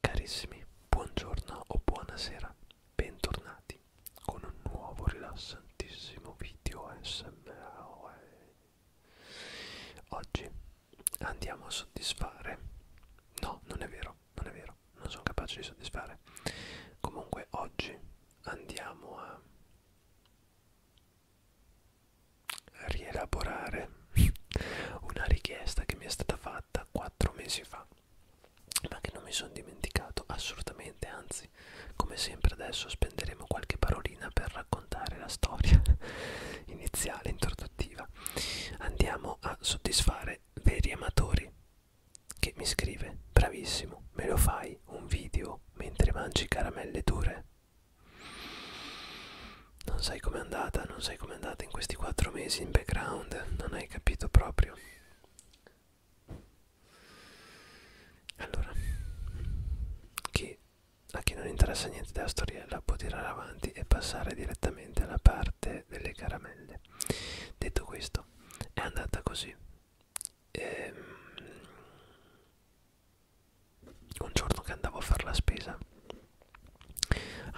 Carissimi, buongiorno o buonasera, bentornati con un nuovo rilassantissimo video SMR. Oggi andiamo a soddisfare. No, non è vero, non è vero, non sono capace di soddisfare. Comunque oggi andiamo a rielaborare una richiesta che mi è stata fatta quattro mesi fa ma che non mi sono dimenticato assolutamente anzi come sempre adesso spenderemo qualche parolina per raccontare la storia iniziale introduttiva andiamo a soddisfare veri amatori che mi scrive bravissimo me lo fai un video mentre mangi caramelle dure non sai com'è andata, non sai com'è andata in questi quattro mesi in background, non hai capito proprio. Allora, chi, a chi non interessa niente della storiella può tirare avanti e passare direttamente alla parte delle caramelle. Detto questo, è andata così. Ehm, un giorno che andavo a fare la spesa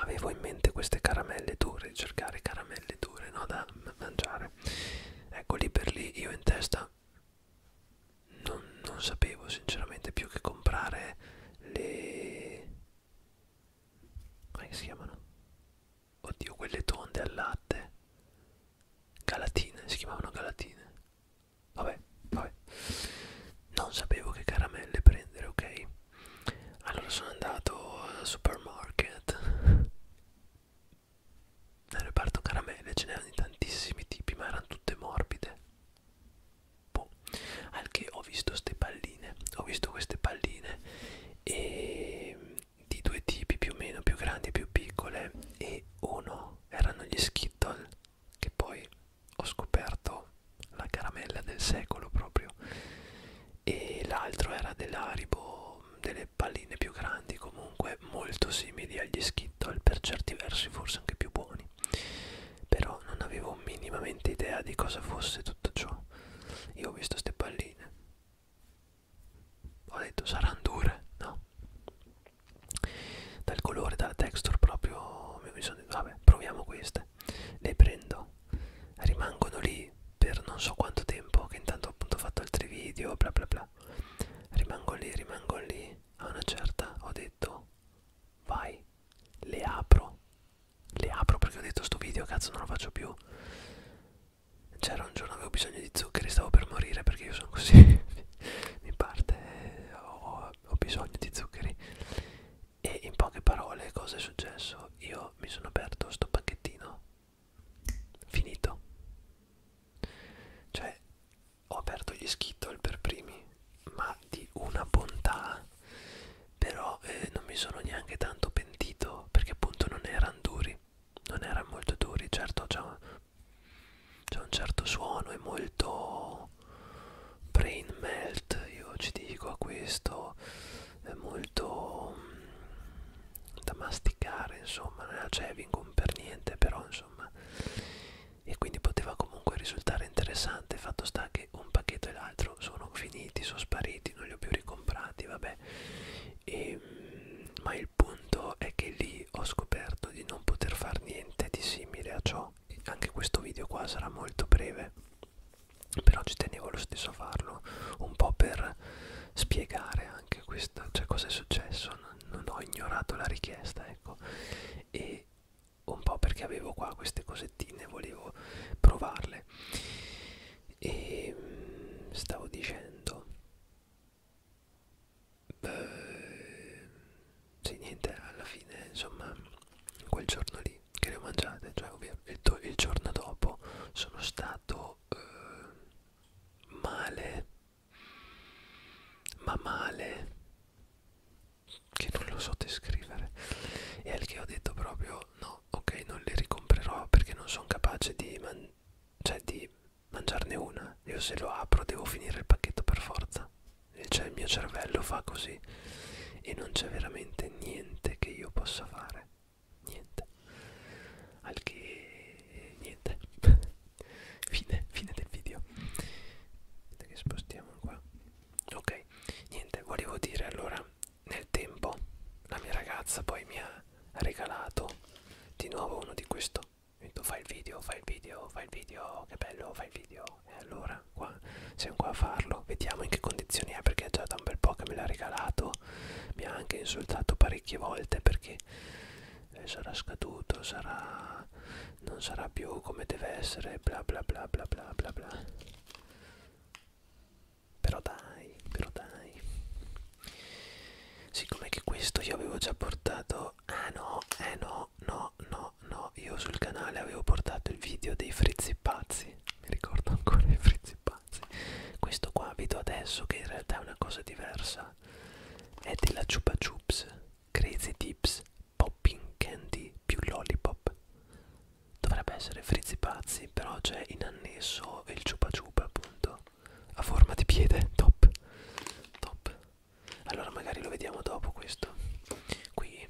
avevo in mente queste caramelle dure, cercare caramelle dure no, da mangiare. Ecco lì per lì io in testa non, non sapevo sinceramente più che comprare le... come si chiamano? Oddio, quelle tonde al latte. Galatine, si chiamavano galatine. Vabbè, vabbè. Non sapevo che caramelle prendere, ok? Allora sono andato al supermarket Nel reparto caramelle ce n'erano tantissimi tipi ma erano tutte morbide boh. Al che ho visto queste palline Ho visto queste palline e ehm, di due tipi più o meno più grandi e più piccole e uno erano gli skittle che poi ho scoperto la caramella del secolo proprio e l'altro era dell'aribo delle palline più grandi comunque molto simili agli skittle per certi versi forse anche più buoni però non avevo minimamente idea di cosa fosse tutto ciò io ho visto ste palline ho detto saranno dure no dal colore dalla texture proprio mi sono detto vabbè proviamo queste le prendo rimangono lì per non so quanto tempo che intanto appunto ho fatto altri video bla bla bla rimango lì rimango lì a una certa ho detto vai le apro le apro perché ho detto sto video cazzo non lo faccio più c'era un giorno avevo bisogno di zuccheri stavo per morire perché io sono così mi parte eh, ho, ho bisogno di zuccheri e in poche parole cosa è successo? Io mi sono aperto sto pacchettino, finito. Cioè, ho aperto gli Skittle per primi, ma di una bontà. Però eh, non mi sono neanche tanto pentito, perché appunto non erano duri, non erano molto duri. Certo c'è un, un certo suono, è molto brain melt io ci dico a questo è molto mh, mm, da masticare insomma non era Chevington cioè, per niente però insomma e quindi poteva comunque risultare interessante fatto sta che un pacchetto e l'altro sono finiti sono spariti non li ho più ricomprati vabbè e, mh, mm, ma il punto è che lì ho scoperto di non poter fare niente di simile a ciò anche questo video qua sarà molto breve però ci tenevo lo stesso a farlo un po' per spiegare anche questa cioè cosa è successo non, non ho ignorato la richiesta ecco e un po' perché avevo qua queste cosettine volevo provarle e mm, stavo dicendo beh, sì niente alla fine insomma quel giorno lì voi che le mangiate, cioè il, il giorno dopo sono stato eh, male, ma male, che non lo so descrivere, e al che ho detto proprio no, ok, non le ricomprerò perché non sono capace di, man cioè, di mangiarne una, io se lo apro devo finire il pacchetto per forza, cioè il mio cervello fa così e non c'è veramente niente che io possa fare niente al che niente fine, fine del video vedete che spostiamo qua ok niente volevo dire allora nel tempo la mia ragazza poi mi ha regalato di nuovo uno di questo mi detto fai il video fai il video fai il video che bello fai il video e allora qua, qua siamo qua a farlo vediamo in che condizioni è perché è già da un bel po' che me l'ha regalato mi ha anche insultato parecchie volte perché eh, sarà scaduto sarà non sarà più come deve essere bla bla bla bla bla bla bla però dai però dai siccome che questo io avevo già portato ah no eh no no no no io sul canale avevo portato il video dei frizzi pazzi mi ricordo ancora i frizzi pazzi questo qua vedo adesso che in realtà è una cosa diversa è della Chupa Chups Crazy Tips Popping Candy più Lollipop dovrebbe essere frizzi pazzi però c'è in annesso il Chupa Chupa appunto a forma di piede top top allora magari lo vediamo dopo questo qui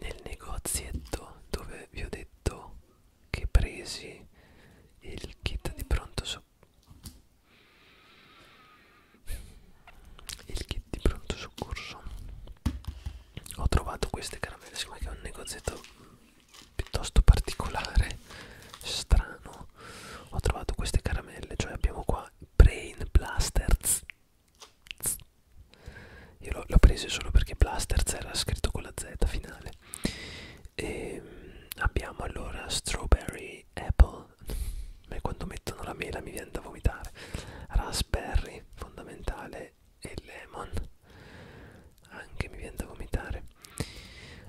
nel negozietto dove vi ho detto che presi il kit di pronto soccorso il kit di pronto soccorso ho trovato queste caramelle siccome che è un negozietto piuttosto particolare strano ho trovato queste caramelle cioè abbiamo qua brain blasters io l'ho, l'ho preso solo perché Blasters era scritto con la Z finale. E ehm, abbiamo allora Strawberry Apple. Ma quando mettono la mela mi viene da vomitare. Raspberry, fondamentale, e Lemon. Anche mi viene da vomitare.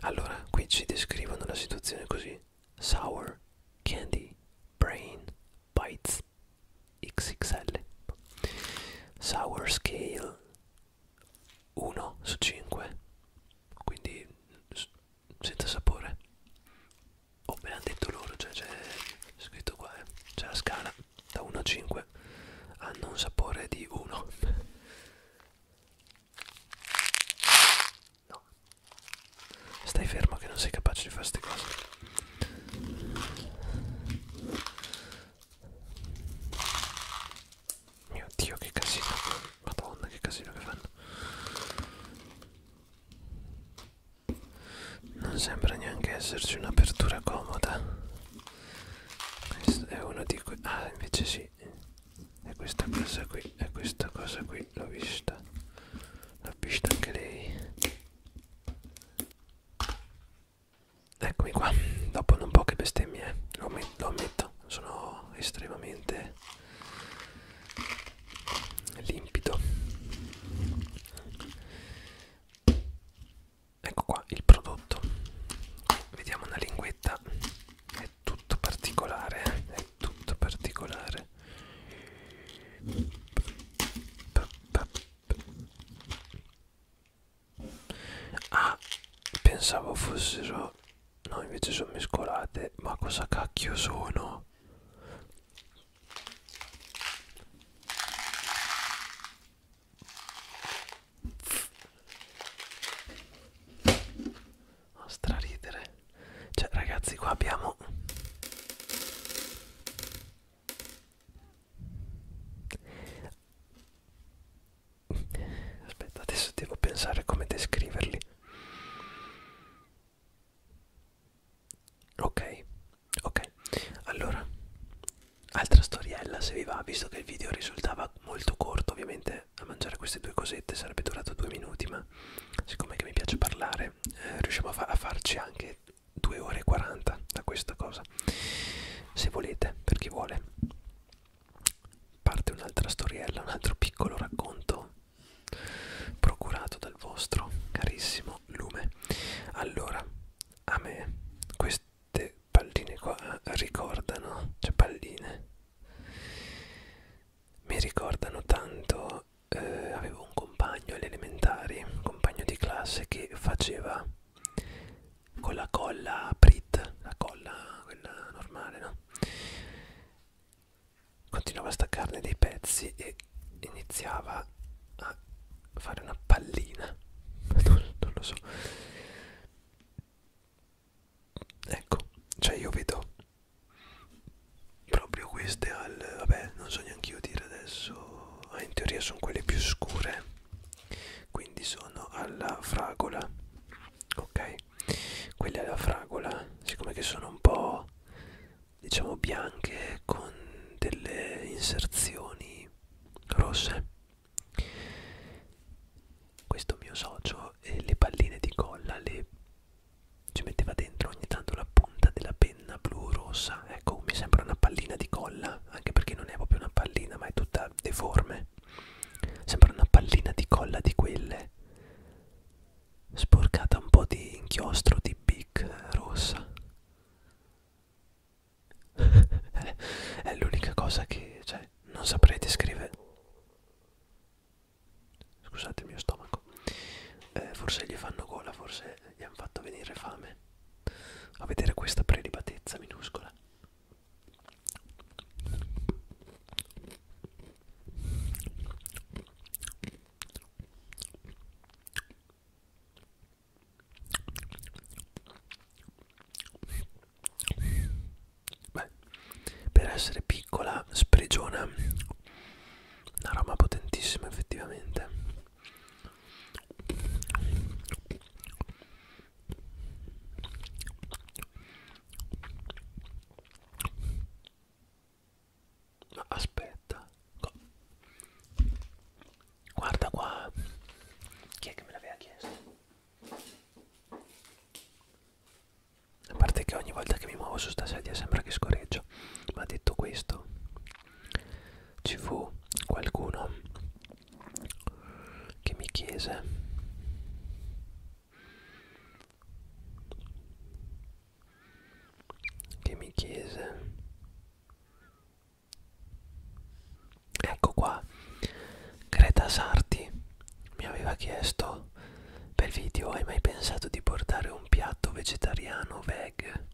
Allora, qui ci descrivono la situazione così. Sour, candy, brain, Bites XXL Sour Scale 1 su 5 quindi senza sapore o oh, me l'hanno detto loro cioè c'è scritto qua eh. c'è la scala da 1 a 5 hanno un sapore di 1 no stai fermo che non sei capace di fare queste cose mio dio che casino Madonna che casino che fanno Non sembra neanche esserci un'apertura comoda Questo è uno di quei Ah invece sì E questa cosa qui E questa cosa qui l'ho vista L'ho vista anche lei Eccomi qua, dopo non poche bestemmie, lo, lo ammetto, sono estremamente limpido. Ecco qua il prodotto, vediamo una linguetta, è tutto particolare, eh. è tutto particolare ah pensavo fossero no invece sono mescolate ma cosa cacchio sono a straridere cioè ragazzi qua abbiamo aspetta adesso devo pensare come descriverli ok ok allora altra storiella se vi va visto che il video risultava molto corto ovviamente a mangiare queste due cosette sarebbe durato due minuti ma siccome che mi piace parlare eh, riusciamo a, fa a farci anche 2 ore e 40 da questa cosa se volete per chi vuole parte un'altra storiella un altro piccolo racconto procurato dal vostro carissimo lume allora a me queste palline qua eh, ricordano cioè palline mi ricordano tanto eh, avevo un compagno alle elementari un compagno di classe che faceva con la colla Brit, la colla quella normale, no? Continuava a staccarne dei pezzi e iniziava a fare una pallina. Non, non lo so. Ecco, cioè io vedo proprio queste al... vabbè, non so neanche io dire adesso. In teoria sono quelle più scure quindi sono alla fragola ok quelle alla fragola siccome che sono un po diciamo bianche con delle inserzioni rosse questo mio socio eh, le palline di colla le ci metteva dentro ogni tanto la punta della penna blu rossa ecco mi sembra una pallina di colla anche perché non è proprio una pallina ma è tutta deforme sembra una pallina di colla di quelle sporcata un po' di inchiostro di bic eh, rossa è l'unica cosa che cioè, non saprei descrivere scusate il mio stomaco eh, forse gli fanno gola forse gli hanno fatto venire fame a vedere questa prelibatezza minuscola Beh, per essere piccola sprigiona una rama potentissima effettivamente ma aspetta, guarda qua, chi è che me l'aveva chiesto? A parte che ogni volta che mi muovo su sta sedia sembra che scorreggio, ma detto questo, ci fu qualcuno che mi chiese che mi chiese ecco qua Greta Sarti mi aveva chiesto per video hai mai pensato di portare un piatto vegetariano veg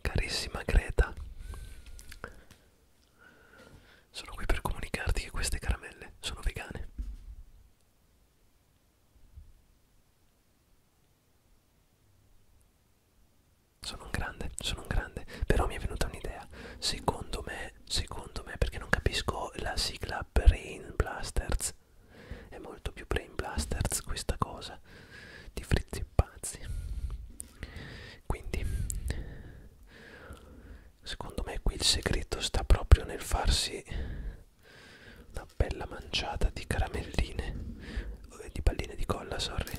Carissima Greta, sono qui per comunicarti che queste caramelle sono vegane. Sono un grande, sono un grande, però mi è venuta un'idea. Secondo me, secondo me, perché non capisco la sigla Brain Blasters, è molto più Brain Blasters questa cosa di frizzi pazzi quindi secondo me qui il segreto sta proprio nel farsi una bella manciata di caramelline eh, di palline di colla sorry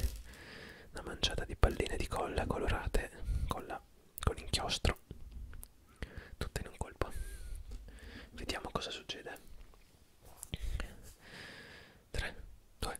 una manciata di palline di colla colorate con, la, con inchiostro tutte in un colpo vediamo cosa succede 3 2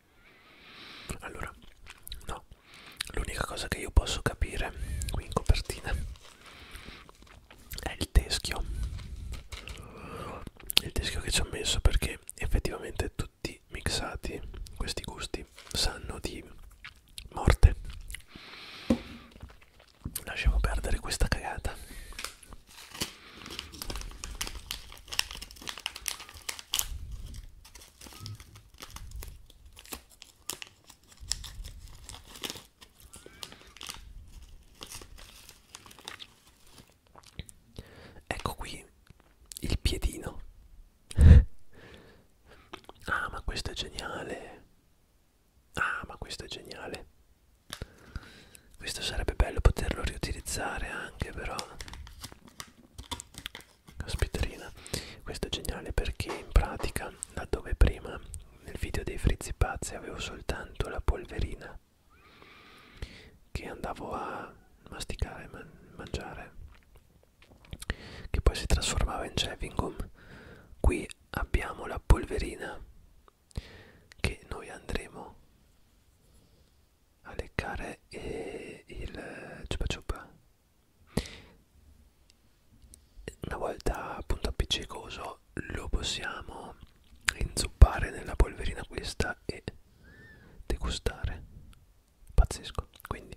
Allora, no, l'unica cosa che io posso capire qui in copertina è il teschio. Il teschio che ci ho messo perché effettivamente tutti mixati questi gusti sanno di morte. Lasciamo perdere questa cagata. Ecco qui il piedino. ah, ma questo è geniale. Ah, ma questo è geniale. Questo sarebbe bello poterlo riutilizzare anche però caspiterina questo è geniale perché in pratica laddove prima nel video dei frizzi pazzi avevo soltanto la polverina che andavo a masticare man mangiare che poi si trasformava in shaving gum qui abbiamo la polverina che noi andremo a leccare eh, il ciupa ciupa una volta appunto appiccicoso lo possiamo inzuppare nella polverina questa e degustare pazzesco quindi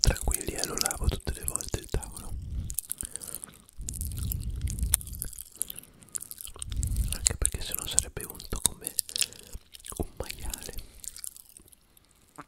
Tranquilli, eh, lo lavo tutte le volte il tavolo. Anche perché se no sarebbe unto come un maiale.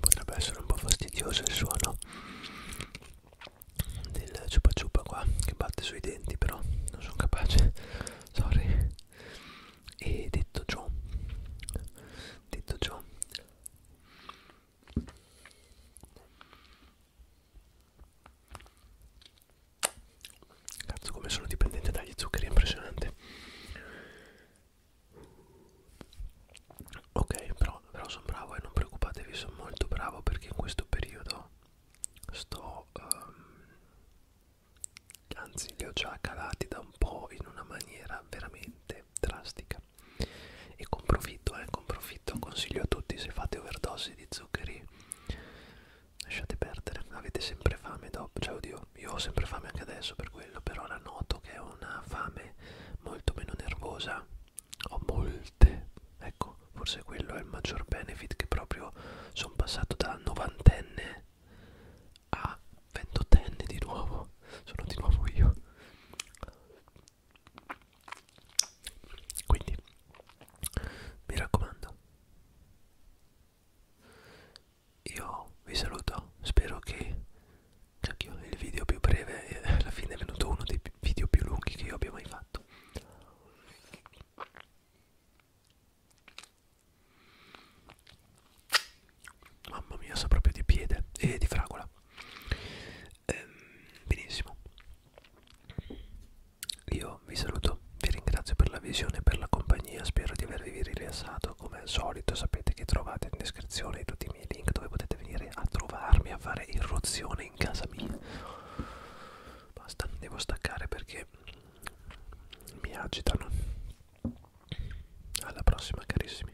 potrebbe essere un po' fastidioso il suono del ciupa ciupa qua che batte sui denti però non sono capace sorry e detto ciò detto ciò Cazzo come sono dipendente dagli zuccheri, è impressionante. Ok, però, però sono bravo e non preoccupatevi, sono molto bravo perché in questo periodo sto... Um, anzi, li ho già calati da un po' in una maniera veramente drastica e con profitto, eh, con profitto consiglio a tutti se fate overdose di zuccheri lasciate perdere, avete sempre fame dopo, cioè oddio, io ho sempre fame anche adesso per quello, per ora noto che ho una fame molto meno nervosa, ho molte, ecco, forse quello è il maggior benefit che proprio sono passato da novantenne a ventottenne di nuovo, sono di nuovo io quindi mi raccomando io vi saluto spero che anch'io cioè, il video più breve eh, alla fine è venuto uno dei video più lunghi che io abbia mai fatto mamma mia so proprio di piede e di fragola ehm, benissimo io vi saluto vi ringrazio per la visione e per la compagnia spero di avervi rilassato come al solito sapete che trovate in descrizione tutti i miei link dove potete venire a trovarmi a fare irruzione in casa mia basta devo staccare perché mi agitano alla prossima carissimi